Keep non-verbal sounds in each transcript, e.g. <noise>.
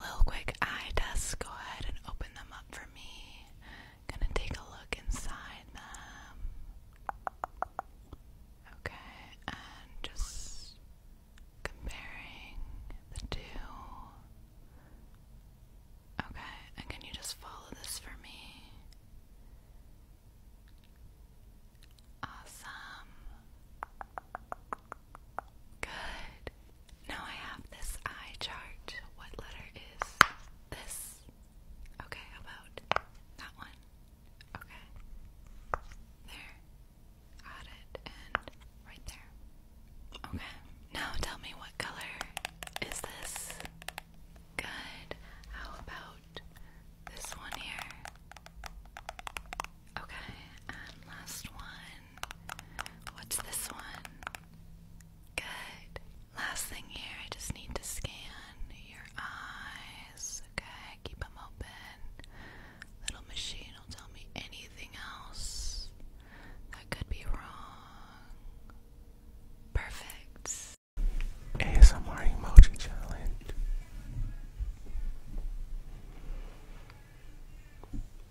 little quick eye test. Go ahead and open them up for me. Gonna take a look inside them. Okay, and just comparing the two. Okay, and can you just follow this for me? Awesome. Good. Now I have this eye chart. What letter is this? Okay, how about that one? Okay. There. Got it. And right there. Okay. Now tell me what color is this? Good. How about this one here? Okay. And last one. What's this one? Good. Last thing here, I just need to scan your eyes. Okay, keep them open. Little machine will tell me anything else that could be wrong. Perfect. ASMR emoji challenge.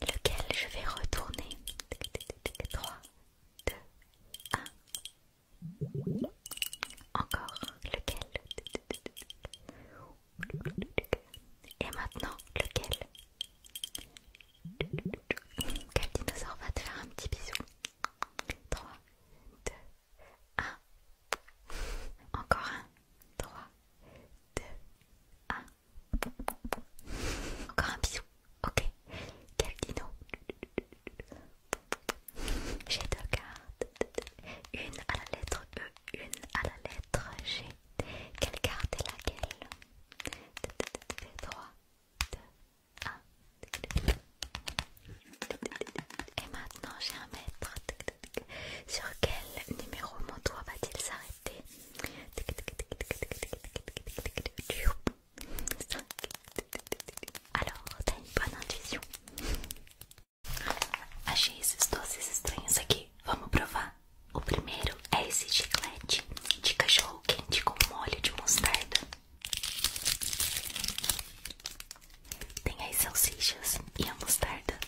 lequel je vais retourner. 3, 2, 1. Encore lequel Et maintenant lequel Quel dinosaure va te faire un petit bisou 3, 2, 1. Encore un. 3, 2, 1. Encore un bisou. Ok. Quel dino J'ai deux cartes. Une à la lettre E, une à la lettre G. Quelle carte est laquelle 3, 2, 1. Et maintenant j'ai un maître. Sur quel numéro mon doigt va-t-il s'arrêter 5. Alors, t'as une bonne intuition. Achei esses doces estranhos aqui. Vamos provar. O primeiro é esse chiclete de cachorro quente com molho de mostarda. Tem as salsichas e a mostarda.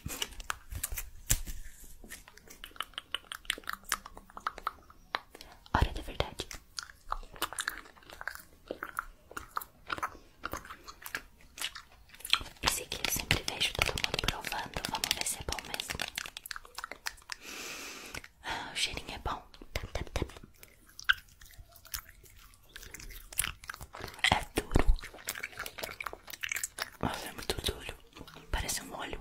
Hora da verdade. Esse aqui eu sempre vejo todo mundo provando. Vamos ver se é bom mesmo. Ah, o cheirinho é bom. É duro. Nossa, é muito duro. Parece um molho.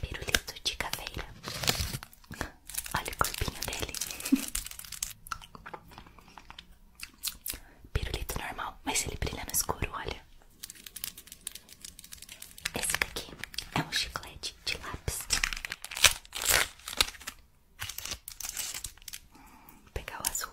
Pirulito de caveira. Olha o corpinho dele. Pirulito normal, mas ele brilha no escuro, olha. Esse daqui é um chiclete de lápis. Vou hum, pegar o azul.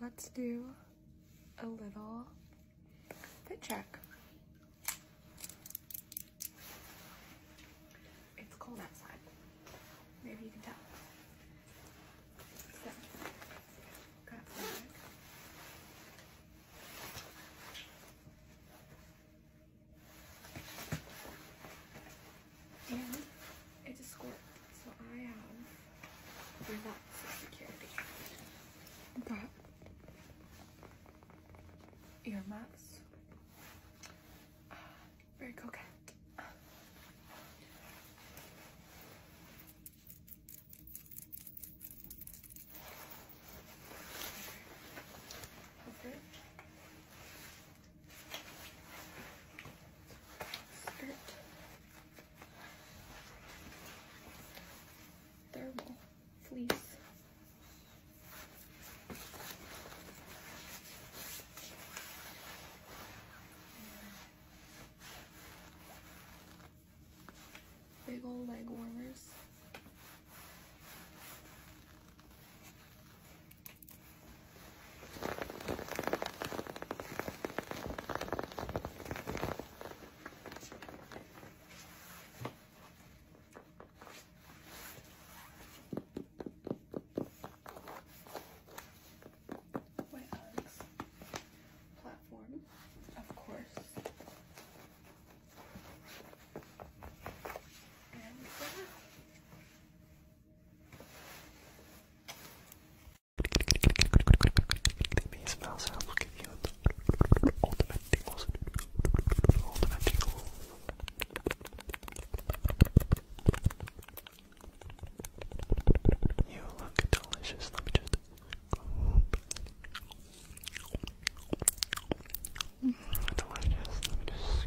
Let's do a little fit check. It's cold outside. Maybe you can tell. So, got and it's a squirt. So I have lots of security. But earmuffs, uh, very coquette. Okay skirt, thermal fleece. Big old leg warmers. Wetlands platform, of course. And uh, you look delicious. Let me just. Delicious. Let me just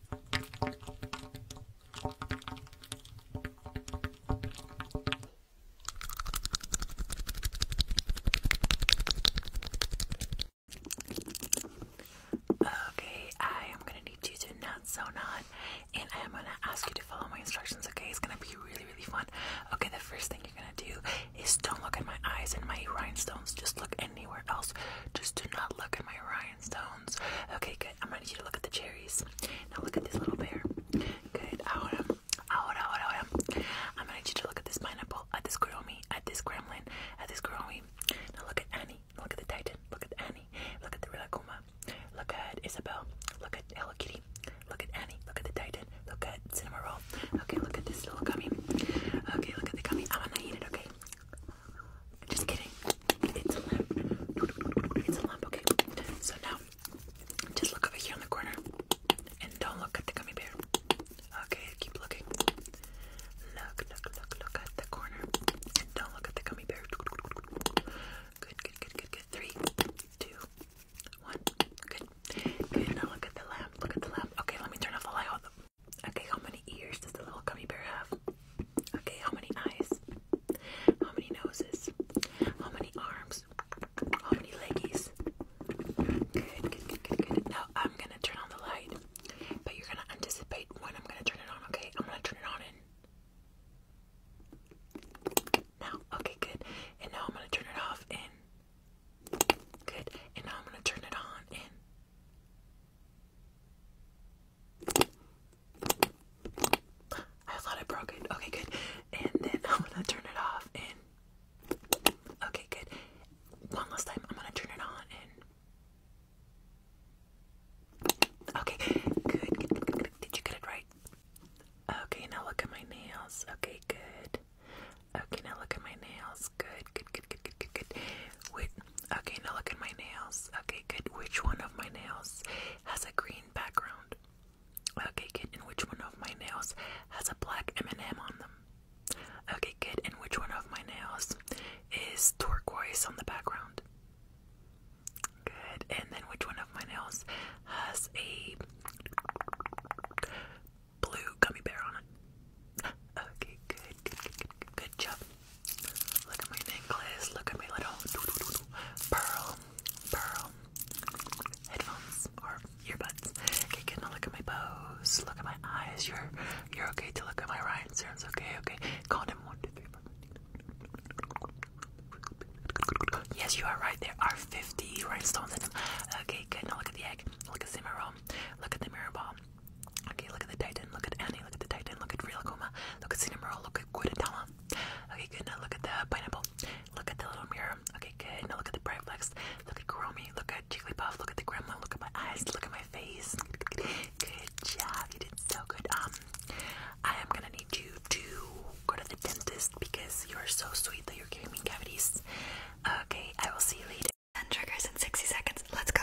Okay, I am gonna need you to not so not, and I am gonna ask you to follow my instructions. Okay, it's gonna be really, really fun. Okay, the first thing you're gonna do is don't look at my eyes and my rhinestones. Just look in anywhere else. Just do not look at my rhinestones. Okay, good. I'm gonna need you to look at the cherries. Now look at this little bear. Good. Ahora, ahora, ahora, ahora. I'm gonna need you to look at this pineapple, at this Kuromi, at this gremlin, at this Kuromi. Now look at Annie. Look at the Titan. Look at Annie. Look at the Rilakkuma. Look at Isabel. Look at Hello Kitty. Look at Annie. Look at the Titan. Look at Cinema Roll. Okay, look at this little gummy. Okay, look at the gummy. I'm gonna eat it, okay? Just kidding. It's a lamp. It's a lamp, okay. So now, just look over here in the corner. And don't look at the gummy bear. Okay, keep looking. Look, look, look, look at the corner. don't look at the gummy bear. Good, good, good, good, good. Three, two, one. Good. Good. Now look at the lamp. Look at the lamp. Okay, let me turn off the light. Okay, how many ears does the little gummy bear have? Okay, how many eyes? How many noses? How many arms? How many leggies? Good, good, good, good, good. Now I'm gonna turn on the light, but you're gonna anticipate when I'm gonna turn it on, okay? I'm gonna turn it on in. Now, okay, good. And now I'm gonna turn it off in. Good. And now I'm gonna turn it on in. I thought I broke it. Okay, good. And then <laughs> I'm gonna turn it off and okay, good. One last time, I'm gonna turn it on and okay, good. Did you get it right? Okay, now look at my nails. Okay, good. Okay, now look at my nails. Good, good, good, good, good, good, good. okay, now look at my nails. Okay, good. Which one of my nails has a green background? Okay, good. And which one of my nails has a black M&M on them? Okay, good. And which one of my nails is turquoise on the background? Good. And then which one of my nails has a blue gummy bear on it? Okay, good, good, good, good, job. Look at my necklace. Look at my little doo -doo -doo -doo. pearl, pearl headphones or earbuds. Okay, good. Now look at my pose. Look at my eyes. You're, you're okay to look at my rhinestones. Okay, okay. Count them one, two, three, four. Yes, you are right. There are 50 rhinestones in them. Okay, good. Now look at the egg. Look at the mirror. Look at the mirror ball. Okay, look at the Titan, look at Annie, look at the Titan, look at Rielacoma, look at Cinnamoroll, look at Guadentama. Okay, good, now look at the Pineapple, look at the Little Mirror. Okay, good, now look at the Bright Flex, look at Kuromi, look at Jigglypuff, look at the Gremlin, look at my eyes, look at my face. Good job, you did so good. Um, I am gonna need you to go to the dentist because you're so sweet that you're giving me cavities. Okay, I will see you later. 10 triggers in 60 seconds. Let's go.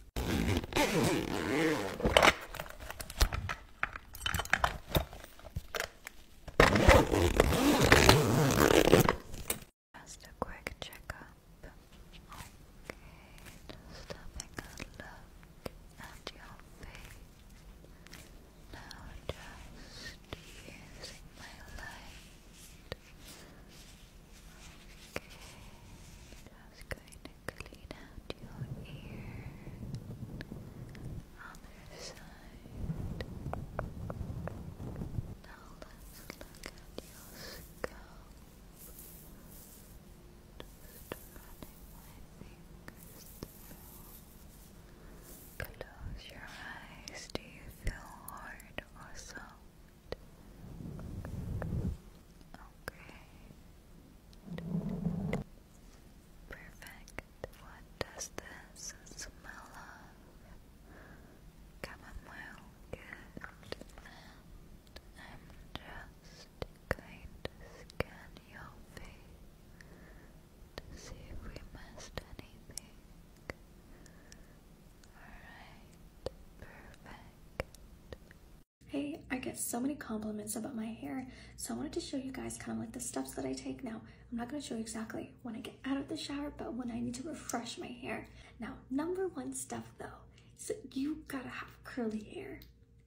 just a quick checkup. Okay, just a look at your face. Now just using my light. Okay, just going clean out your ear. Other side. Now let's look at your scalp. Close your eyes. Do you feel hard or soft? Okay. Perfect. What does this smell of? Chamomile. Good. I'm just going to scan your face see if we missed anything. Alright, perfect. Hey, I get so many compliments about my hair, so I wanted to show you guys kind of like the steps that I take now. I'm not going to show you exactly when I get out of the shower, but when I need to refresh my hair. Now, number one step though, is that you gotta have curly hair,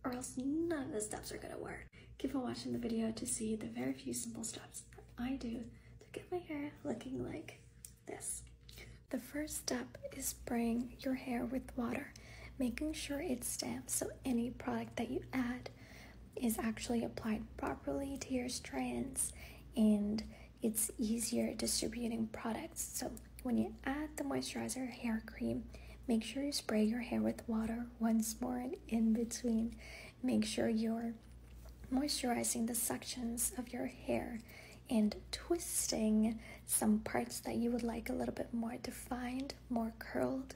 or else none of the steps are gonna work. Keep on watching the video to see the very few simple steps that I do to get my hair looking like this. The first step is spraying your hair with water making sure it's stamped so any product that you add is actually applied properly to your strands and it's easier distributing products. So when you add the moisturizer hair cream, make sure you spray your hair with water once more and in between. Make sure you're moisturizing the sections of your hair and twisting some parts that you would like a little bit more defined more curled.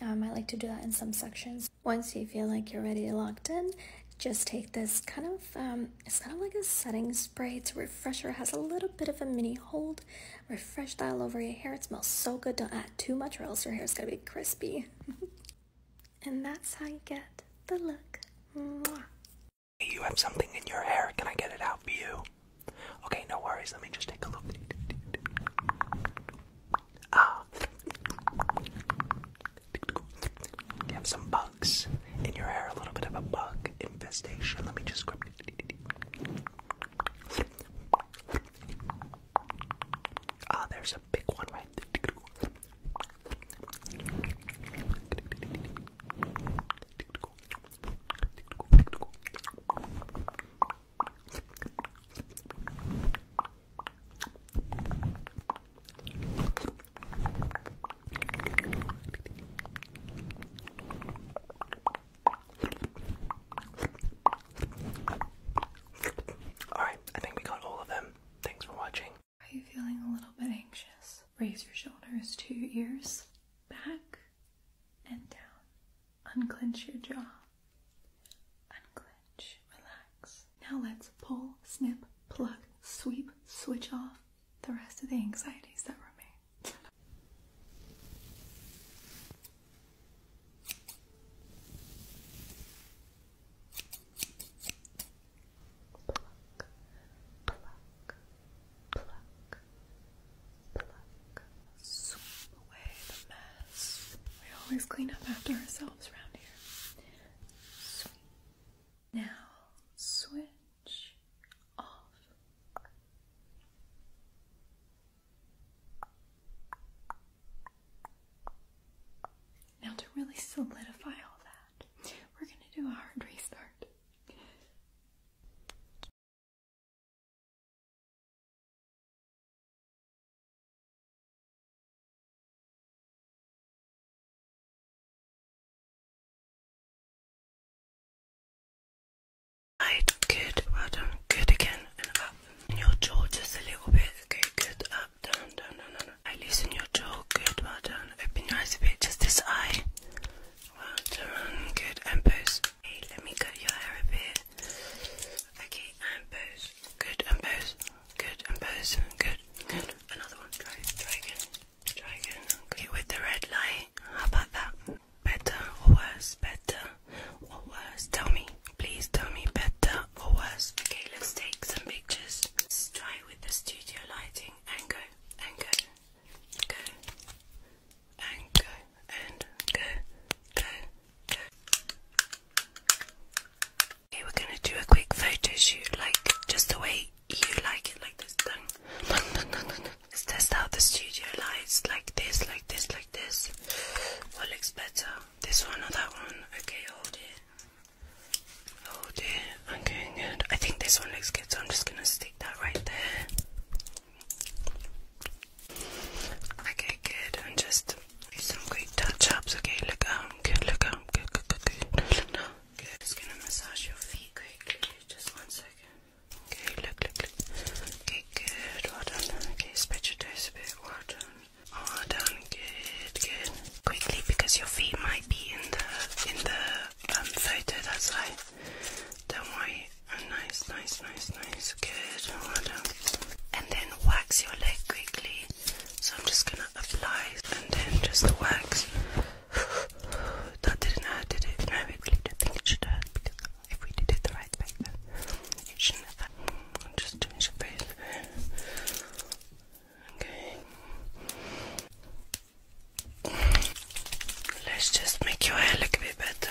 Um, I like to do that in some sections. Once you feel like you're ready locked in, just take this kind of, um, it's kind of like a setting spray. It's a refresher, has a little bit of a mini hold. Refresh that over your hair. It smells so good. Don't add too much or else your hair is gonna be crispy. <laughs> and that's how you get the look. You have something in your hair. Can I get it out for you? Okay, no worries. Let me just take a look. Ah. You have some bugs in your hair, a little bit of a bug infestation. Let me just Ah, there's a big one right there. Alright, I think we got all of them. Thanks for watching. Are you feeling a little bit anxious? Raise your shoulders to your ears, back and down. Unclench your jaw. Unclench. Relax. Now let's pull, snip, pluck, sweep, switch off the rest of the anxieties that remain. Pluck, pluck, pluck, pluck, away the mess. We always clean up after ourselves around here. Now switch off. Now to really solidify all that, we're going to do a hard restart. Right, good, well done, good again, up. your jaw just a little bit, okay, good, up, down, down, down, down. I loosen your jaw, good, well done. Open your eyes a bit, just this eye. Well done, good, and Hey, let me cut your hair a bit. Okay, and pose. Good, and pose. Good, and pose. Good, Another one. Try, try again. Try again. Okay, with the red light. How about that? Better or worse? Better or worse? Tell me. Please tell me better or worse. Okay, let's take some pictures. try with the studio lighting and go, and go, go, Okay, we're gonna do a quick photo shoot, like just the way you like it, like this. Let's test out the studio lights, like this, like this, like this. What looks better? This one or that one? Okay, hold it. Hold it. i I think this one looks good, so I'm just gonna stick that right there. Okay, good. And just do some quick touch-ups. Okay, look up. Um, good, look up. Um, good, good, good, good. No, good. Just gonna massage your feet quickly. Just one second. Okay, look, look, look. Okay, good. Well done. Okay, spread your toes a bit. Well done. Well done. Good, good. Quickly, because your feet might be in the in the um, photo. That's why. Don't worry. nice, nice, nice, nice. Good. And then wax your leg quickly. So I'm just gonna apply and then just wax. <sighs> that didn't hurt, did it? No, I really don't think it should hurt if we did it the right way, then shouldn't have hurt. Just change your face. Okay. Let's just make your hair look a bit better.